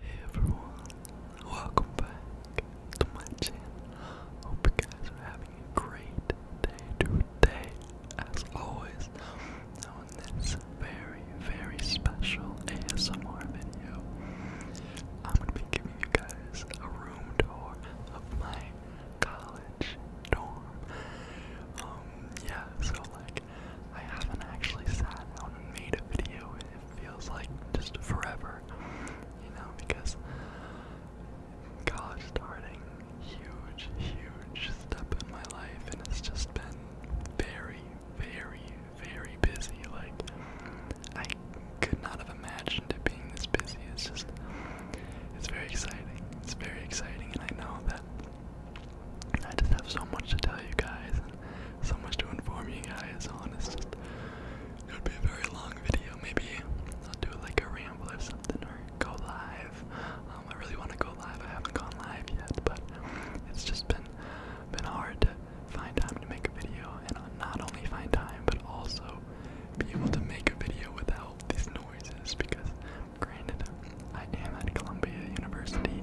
Hey everyone, welcome back to my channel. Hope you guys are having a great day today. As always, on this very, very special ASMR video, I'm gonna be giving you guys a room tour of my college dorm. Um, yeah, so like I haven't actually sat down and made a video. It feels like just forever, you know, because college starting, huge, huge step in my life, and it's just been very, very, very busy. Like, I could not have imagined it being this busy. It's just, it's very exciting. It's very exciting, and I know that I just have so much to tell you guys so much to inform you guys on. It's just it would be a very long video. Maybe I'll do like a ramble or something, or go live. Um, I really want to go live. I haven't gone live yet, but it's just been been hard to find time to make a video, and not only find time, but also be able to make a video without these noises. Because granted, I am at Columbia University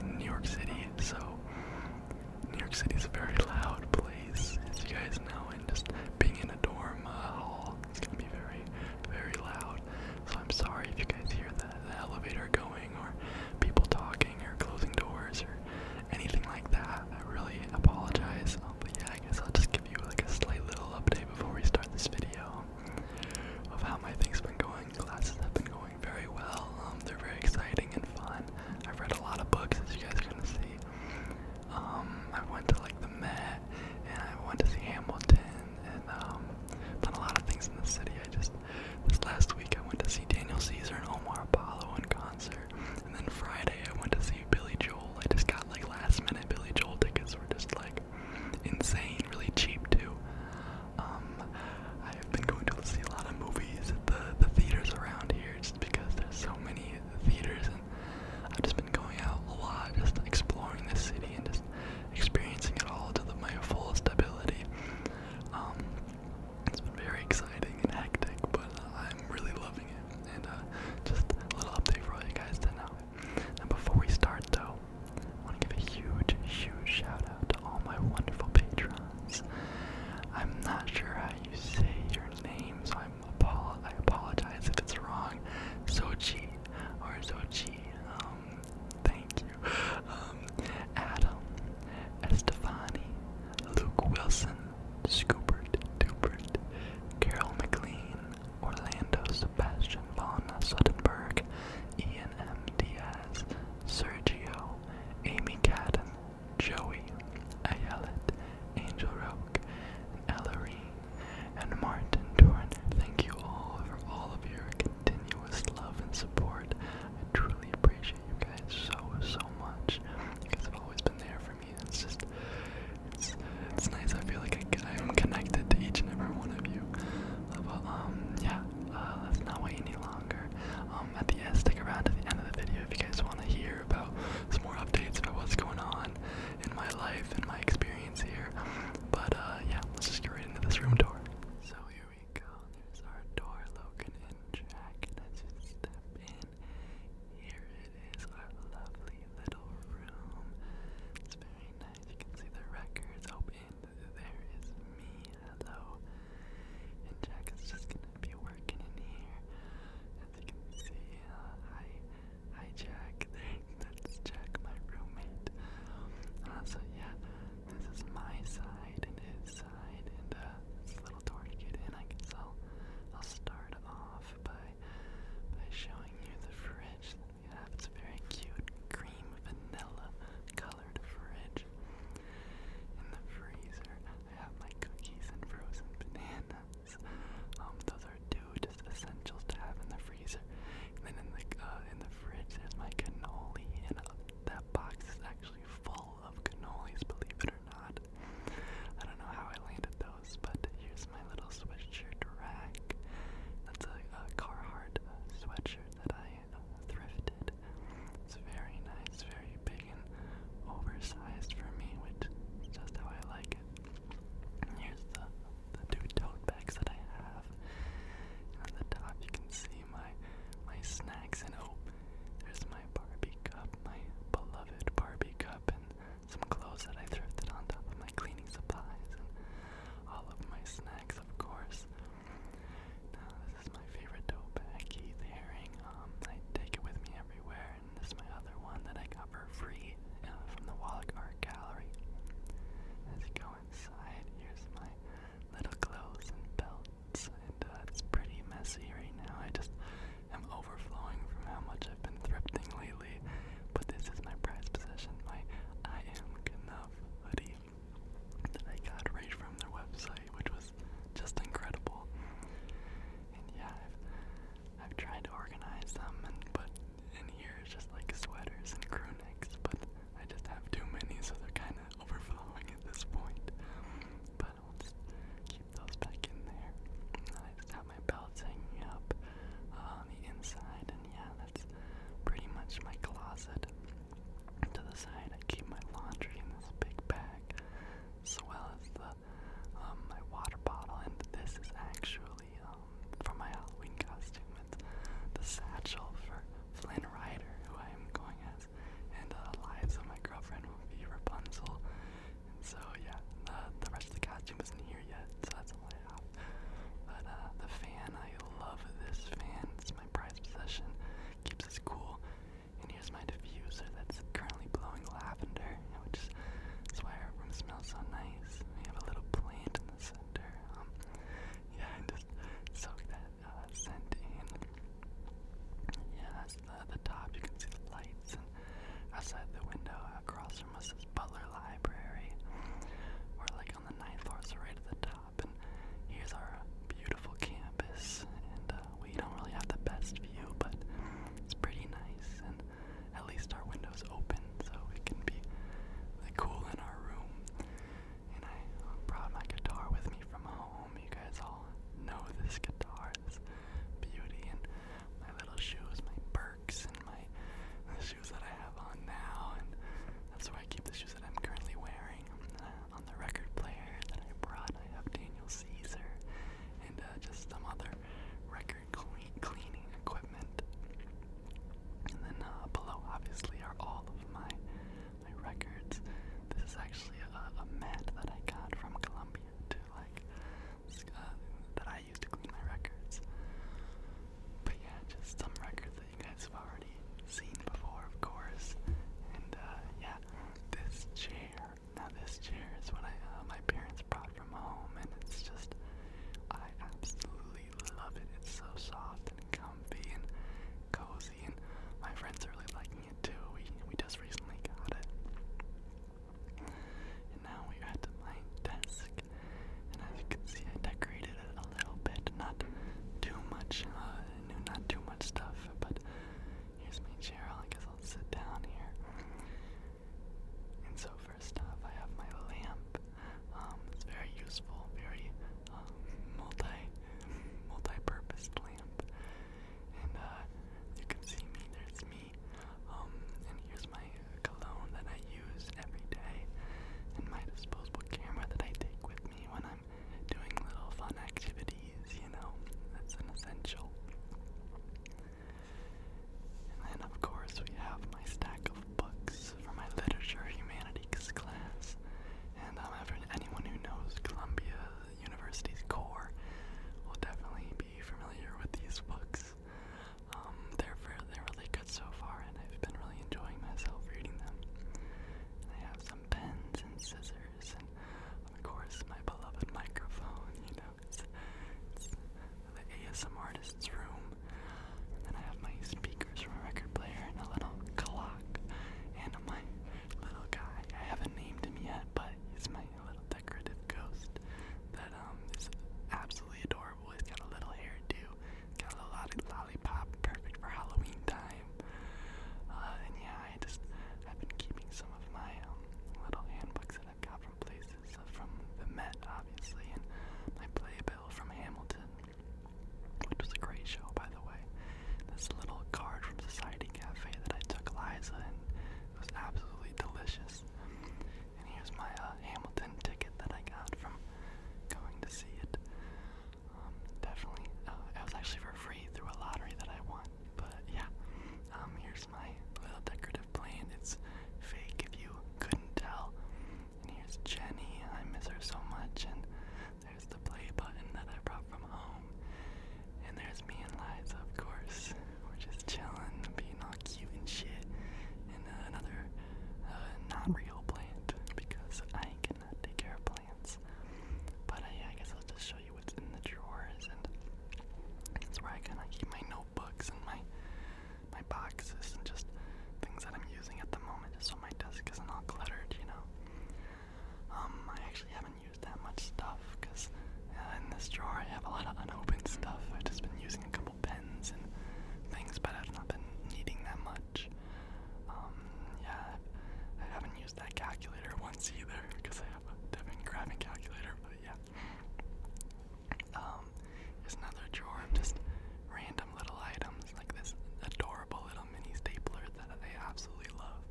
in New York City, so New York City is a very loud place, as you guys know, and just being in a dorm uh, hall it's gonna be very, very loud. So I'm sorry if you guys hear the, elevator going or people talking or closing doors or anything like that. I really apologize. Um, but yeah, I guess I'll just give you like a slight little update before we start this video of how my things has been going, classes have been going going very well. Um, they're very exciting and fun. I've read a lot of books, as you guys are gonna see. Um, I went to like the Met, and I went to see Hamilton, and um, done a lot of things in the city. I just this last week I went to see Daniel Caesar and Omar Apollo in concert, and then Friday I went to see Billy Joel. I just got like last minute Billy Joel tickets. Were just like insane, really cheap too. Um, I have been going to see a lot of movies at the, the theaters around here just because there's so many theaters, and I've just been going out a lot, just exploring the city and just experiencing it all to the, my fullest ability. Um, it's been very exciting and hectic, but uh, I'm really loving it. And uh, just a little update for all you guys to know. And before we start, though, I want to give a huge, huge shout out to all my wonderful patrons. I'm not sure how you say your name, so I'm apolo I apologize if it's wrong. Sochi or Sochi. Um, thank you. Um, Adam, Estefani, Luke Wilson, Scoopert, Dupert, Carol McLean, Orlando Sebastian von Suttenberg, Ian M. Diaz, Sergio Amy Cadden, Joey, Ayelet, Angel Roke, and and Martin Dorn. Thank you all for all of your continuous love and support. I truly appreciate you guys so, so much. You guys have always been there for me. It's just, it's, it's nice. I feel like I, I'm connected to each and every one of you. But, um, yeah, uh, let's not wait any longer. Um, at the end, stick around to the end of the video if you guys want to hear about some more updates about what's going on in my life and my experience here. But uh, yeah, let's just get right into this room door. So here we go. There's our door, Logan and Jack. Let's just step in. Here it is, our lovely little room. It's very nice. You can see the records open there is me. Hello. And Jack is just gonna be working in here. As you can see, uh, hi, hi Jack. That's Jack, my roommate. Uh, so yeah, this is my side and his side, and uh, this little door to get in. I can i I'll start off by by showing you the fridge It's very cute, cream vanilla colored fridge. In the freezer, I have my cookies and frozen bananas. Um, those are two just essentials to have in the freezer. then in the uh, in the fridge, there's my cannoli, and uh, that box is actually full of cannolis, believe it or not. I don't know how I landed those, but here's my little sweatshirt rack. That's a, a Carhartt sweatshirt that I thrifted. It's very nice, very big and oversized for me, which is just how I like it. here's the the two tote bags that I have. And the top you can see my my snacks and oh there's my Barbie cup, my beloved Barbie cup and some clothes that I thrifted on top of my cleaning supplies and all of my snacks of course this is my favorite tote bag, Keith Haring. Um, I take it with me everywhere, and this is my other one that I got for free uh, from the Wallach Art Gallery. As you go inside, here's my little clothes and belts, and uh, it's pretty messy right now. I just am overflowing from how much I've been thrifting lately. But this is my prized possession, my I Am Enough hoodie that I got right from their website, which was just incredible. And yeah, I've, tried to organize them and put in here just like sweaters and crew but I just have too many, so they're kind of overflowing at this point. But I'll keep those back in there. I just have my belts hanging up uh, on the inside, and yeah, that's pretty much my closet. To the side, I keep my laundry in this big bag, as well as the um, my water bottle. And this is actually um, my Halloween costume. It's the satchel for Flynn Rider, who I am going as, and uh, Eliza, my girlfriend, will be Rapunzel. And so yeah, the the rest of the costume isn't here yet, so that's all I have. But uh, the fan, I love this fan. It's my prized possession. Keeps us cool. And here's my diffuser that's currently blowing lavender, which is that's why our room smells so nice. We have a little plant in the center. Um, yeah, and just soak that uh, scent in. Yeah, that's the, the top. You can see the lights. And outside the window, across from us, is Butler Library. We're like on the ninth floor, right at the top top. And here's our beautiful campus. And uh, we don't really have the best view, but it's pretty nice. And at least our window's open, so it can be like, cool in our room. And I brought my guitar with me from home. You guys all know this guitar, this beauty, and my little shoes, my Birks, and my the shoes that I have on now. And that's where I keep the shoes that I'm currently wearing. Uh, on the record player that I brought. I have Daniel Caesar and uh, just some other record cleaning equipment. And then uh, below, obviously, are all of my my records. This is actually a, mat that I got from Columbia to like uh, that I used to clean my records. But yeah, just some records that you guys have already already seen before, of course. And uh, yeah, this chair. Now this chair is what I uh, my parents brought from home, and it's just I absolutely love it. It's so soft and comfy and cozy, and my friends are really liking it too. We we just recently got it. And now we're at my desk, and as you can see, I decorated it a little bit, not too much, uh, not too much stuff, but here's my chair. I guess I'll sit down here. And so first off, I have my lamp. Um, it's very useful, very um, multi, multi-purpose lamp. And uh, you can see me. There's me. Um, and here's my cologne that I use every day, and my disposable camera that I take with me when I time doing little fun activities, you know, that's an essential. And then, of course, we have my stack of books for my literature humanities class. And um, anyone who knows Columbia University's core will definitely be familiar with these books. Um, they're, fairly, they're really good so far, and I've been really enjoying myself reading them. And I have some pens and scissors speakers, and of course my beloved microphone. You know, it's, it's the ASM artist's room. And then I have my speakers from a record player and a little clock, and my little guy. I haven't named him yet, but he's my little decorative ghost that um is absolutely adorable. He's got a little hairdo, he's got a little lollipop, perfect for Halloween time time. Uh, and yeah, I just I've been keeping some of my um, little handbooks that I've got from places uh, from the Met, obviously, and my playbill from Hamilton, which was a great show, by the way. This little card from Society Cafe that I took Liza, and it was absolutely delicious. And here's my uh, Hamilton ticket that I got from going to see it. Um, definitely. Uh, was actually for free through a lottery that I won. But yeah, um, here's my little decorative plane. It's fake if you couldn't tell. And here's Jenny. I miss her so much. And there's the play button that I brought from home. And there's me and Liza, of course. We're just chilling, being all cute and shit. And uh, another uh, not real plant because I cannot take care of but uh, I guess I'll just show you what's in the drawers, and that's where I kind of keep my notebooks and my my boxes and just things that I'm using at the moment, so my desk isn't all cluttered, you know. Um, I actually haven't used that much stuff because uh, in this drawer I have a lot of unopened stuff. I've just been using a couple pens and things, but I've not been needing that much. Um, yeah, I haven't that calculator once either because I have a Devin calculator, but yeah. there's um, another drawer of just random little items like this adorable little mini stapler that I absolutely love,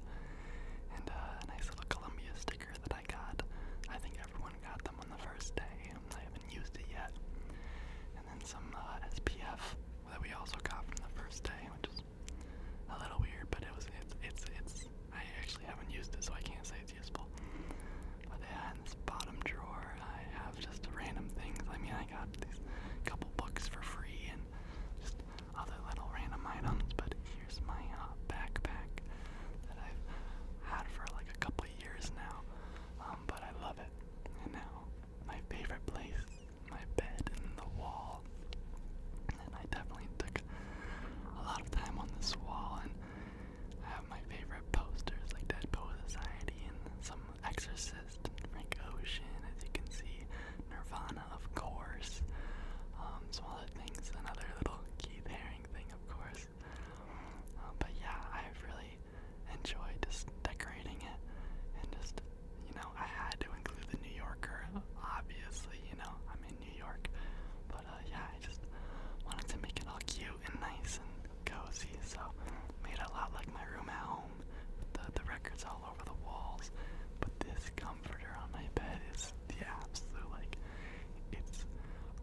and uh, a nice little Columbia sticker that I got. I think everyone got them on the first day. I haven't used it yet. And then some uh, SPF that we also got from the first day, which is a little weird, but it was it's it's it's I actually haven't used it, so I can't say it's useful. But yeah, this bottom drawer, I have just random things. I mean, I got these couple books for free and just other little random items. But here's my uh, backpack that I've had for like a couple years now, um, but I love it. And now my favorite place my bed and the wall. And I definitely took a lot of time on this wall, and I have my favorite posters like Dead Poet Society and some Exorcist and Frank Ocean, as you can see, Nirvana, of course, um, some other things, another little Keith Haring thing, of course. Uh, but yeah, I've really enjoyed just decorating it and just you know, I had to include the New Yorker, obviously, you know, I'm in New York. But uh, yeah, I just wanted to make it all cute and nice and cozy, so made it a lot like my room at home, with the, the records all over the walls. But this comforter on my bed is the absolute, like, it's,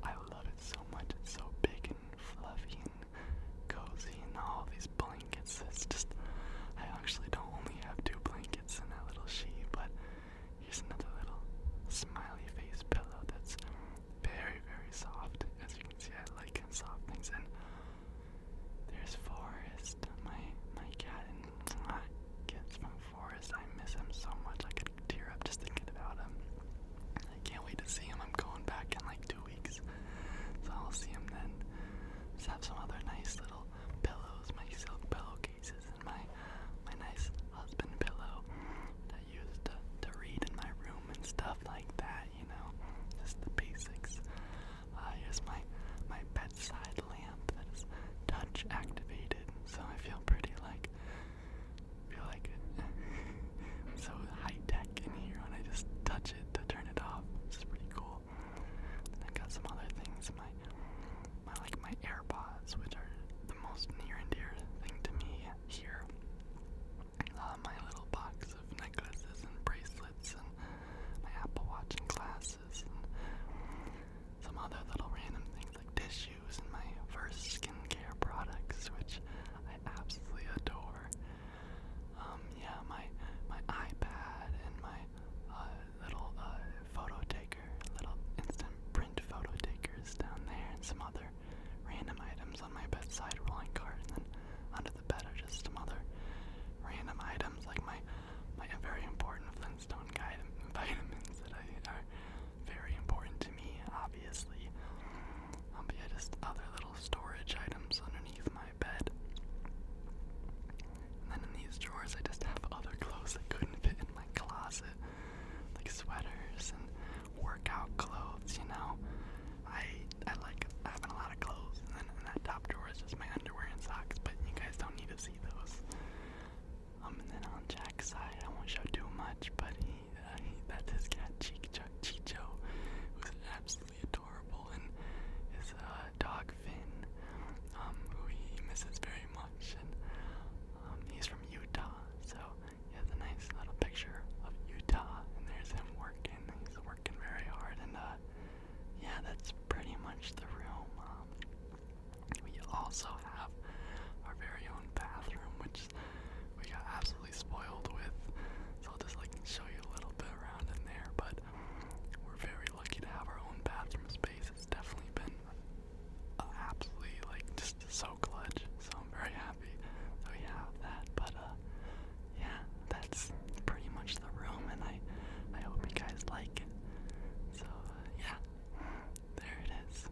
I love it so much. It's so big and fluffy and cozy and all these blank blankets. It's just, I actually don't only have two blankets in that little sheet, but here's another little smiley face pillow that's very, very soft. As you can see, I like soft things. And there's Forest, my my cat, and uh, kids from I miss him so much. I could tear up just thinking about him. I can't wait to see him. I'm going back in like two weeks, so I'll see him then. Let's have some other nice little little pillows, my silk pillowcases, and my my nice husband pillow that I used to, to read in my room and stuff like that, you know, just the basics. Uh, here's my my bedside lamp that is touch activated, so I feel pretty like feel like so high tech in here when I just touch it to turn it off. It's pretty cool. I got some other things, my my like my AirPods, which are the most near and dear thing to me here. Uh, my little box of necklaces and bracelets and my Apple Watch and glasses and some other little random things like tissues and my first skincare products, which I absolutely adore. Um, yeah, my my iPad and my uh, little uh, photo taker, little instant print photo takers down there, and some other random items on my bedside rolling cart, and then under the bed are just some other random items like my my very important Flintstone guide vitamins that I are very important to me, obviously. Um, but yeah, just other little storage items underneath my my bed. And then in these drawers, I just have other clothes that couldn't fit in my closet, like sweaters and workout clothes. You know, I I like having a lot of clothes, and then in that top drawer is just my underwear and socks. But you guys don't need to see those. Um, and then on Jack's side, I won't show too much, but he, uh, he that's his cat Cheek Chicho, who's an abs absolutely adorable, and his uh, dog Finn, um, who he misses very much, and um, he's from Utah, so he has a nice little picture of Utah, and there's him working. He's working very hard, and uh, yeah, that's pretty much the room. Um, we also have our very own bathroom, which we got absolutely spoiled with. So I'll just like show you a little bit around in there, but we're very lucky to have our own bathroom space. It's definitely been absolutely like just so clutch. So I'm very happy we have that. But uh, yeah, that's pretty much the room, and I I hope you guys like it. So uh, yeah, there it is.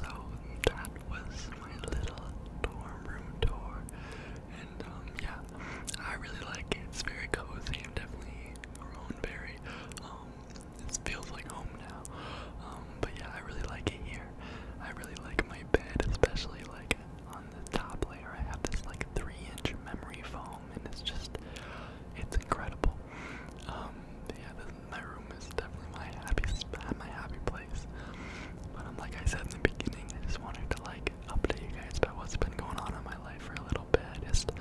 So that was my little dorm room tour. And um, yeah, I really like it. It's very cozy. I'm definitely our own berry. Um, it feels like home now. Um, but yeah, I really like it here. I really like my bed, especially like on the top layer. I have this like three-inch memory foam, and it's just, it's incredible. Um, yeah, this, my room is definitely my happy, my happy place. But um, like I said in the beginning, I just wanted to like update you guys about what's been going on in my life for a little bit. Just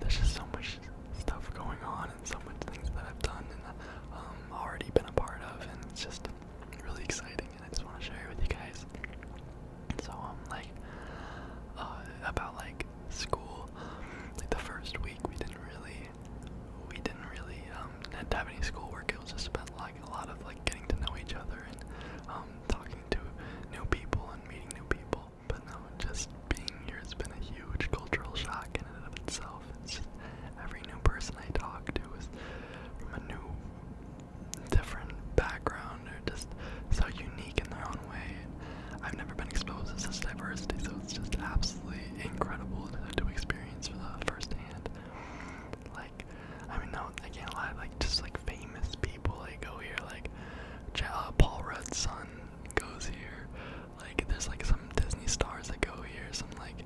there's just so much stuff going on and so much things that I've done and um, already been a part of, and it's just really exciting. And I just want to share it with you guys. So um, like uh, about like school, like the first week we didn't really, we didn't really um have any school work. It was just about like a lot of like getting to know each other and um talking to new people and meeting new people. But no, just being here has been a huge cultural shock in and of itself. every new person I talk to is from a new, different background or just so unique in their own way. I've never been exposed to such diversity, so it's just absolutely incredible to, experience for the first hand. Like, I mean, no, I can't lie. Like, just like famous people, like go oh, here. Like, uh, Paul Rudd's son goes here. Like, there's like some Disney stars that go here. Some like,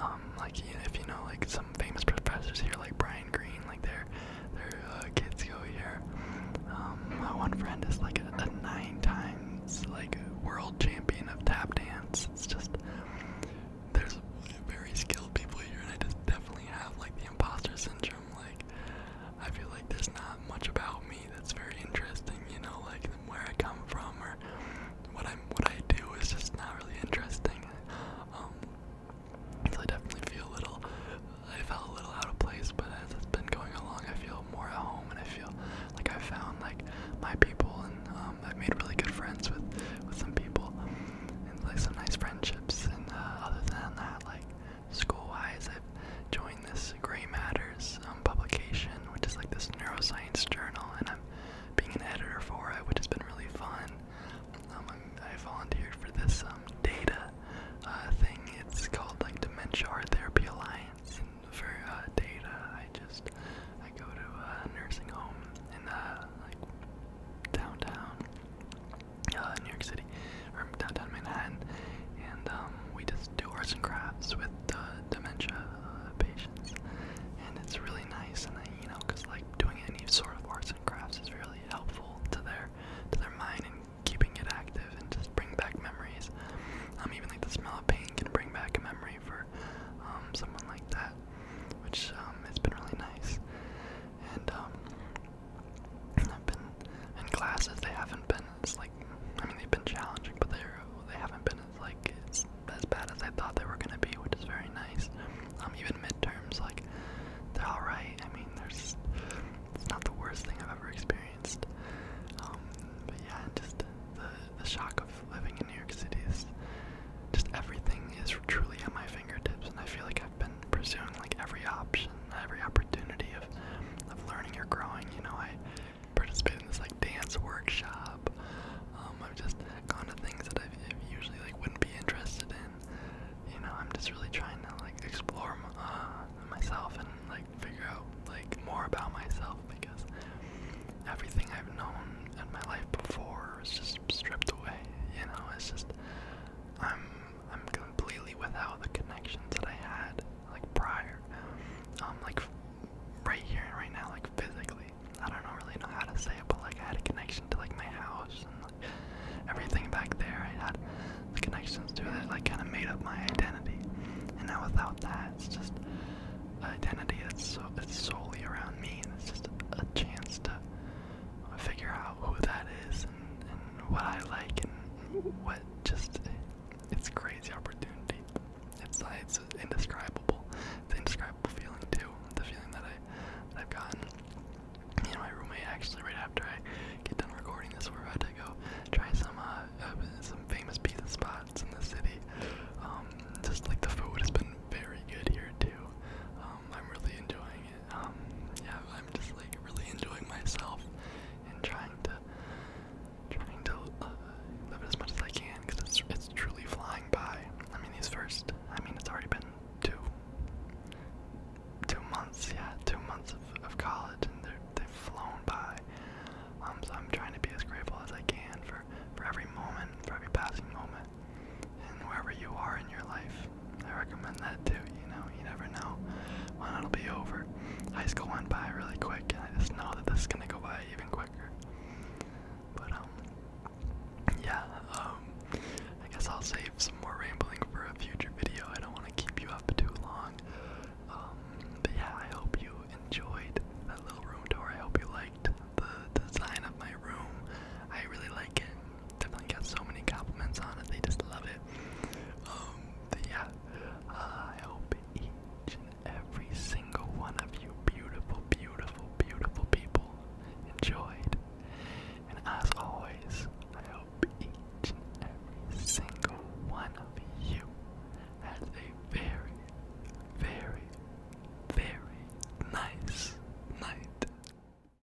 um, like you know, if you know, like some famous professors here, like Brian Green. Like, their their uh, kids go here. Um, my one friend is like a, a nine times like world champion of tap dance. It's just there's very skilled people here, and I just definitely have like the imposter syndrome spectrum. Like, I feel like there's not much about me that's very interesting. You know, like where I come from or what I'm, what I do is just not really interesting. Um, so I definitely feel a little. I felt a little out of place, but as it's been going along, I feel more at home, and I feel like I found like my people, and um, I've made really good friends with with some people, and like some nice friendships. And uh, other than that, that like school-wise I've joined this Gray Matters um, publication, which is like this neuroscience journal, and I'm being an editor for it, which has been really fun. Um, I'm, I volunteered for this um, data uh, thing. It's called like Dementia Art Therapy Alliance, and for uh, data, I just I go to a nursing home in uh, like downtown, uh, New York City, or downtown Manhattan, and um, we just do arts and crafts with uh, dementia uh, patients, and it's really nice. And I, you know, cause like doing any sort of arts and crafts is really helpful to their to their mind and keeping it active and just bring back memories. Um, even like the smell of paint can bring back a memory for um, someone like that, which um, it's been really nice. And um, I've been in classes. They haven't been as like I mean they've been challenging, but they are they haven't been as like as bad as I thought they were gonna be, which is very nice. Um, even midterms like they're all right. I mean there's it's not the worst thing I've ever experienced. Um, but yeah, just the the shock of living in New York City is just everything is truly at my fingertips, and I feel like I've been been pursuing like every option, every opportunity of of learning or growing. You know, I participated in this like dance workshop. Um, I've just gone to things that I usually like wouldn't be interested in. You know, I'm just really trying to like explore uh, myself and like figure out like more about myself because everything I've known in my life before is just stripped away. You know, it's just I'm I'm completely without the connections that I had like prior. I'm um, like right here and right now, like physically. I don't really know how to say it, but like I had a connection to like my house and like everything back there. I had the connections to that, like kind of made up my identity. And now without that, it's just identity that's so it's solely around me, and it's just a chance to figure out who that is and, and what I like and what just it's crazy opportunity. It's like uh, it's indescribable. It's an indescribable feeling too. The feeling that I that I've gotten. Me and my roommate actually right after I get done recording this, we're about to go try some uh, uh some famous pizza spots in the city. Um, just like the food has been very good here too. Um, I'm really enjoying um, yeah, I'm just like really enjoying myself and trying to trying to uh, live as much as I can because it's it's truly flying by. I mean, these first, I mean, it's already been two two months, yeah, two months of, of college, and they have flown by. Um, so I'm trying to be as grateful as I can for for every moment, for every passing moment, and wherever you are in your life, I recommend that too, you know, you never know when it'll be over. High school went by really quick, and I just know that this is gonna go by even quicker. But, um, yeah, um, I guess I'll save some more rambling for a future video. I don't want to keep you up too long. Um, yeah, I hope you enjoyed that little room tour. I hope you liked the design of my room. I really like it definitely got so many compliments on it. They just love it. Um, yeah, uh, I hope each and every single one of you, beautiful, beautiful, beautiful people, enjoyed. And as always, I hope each and every single one of you has a very, very, very nice night.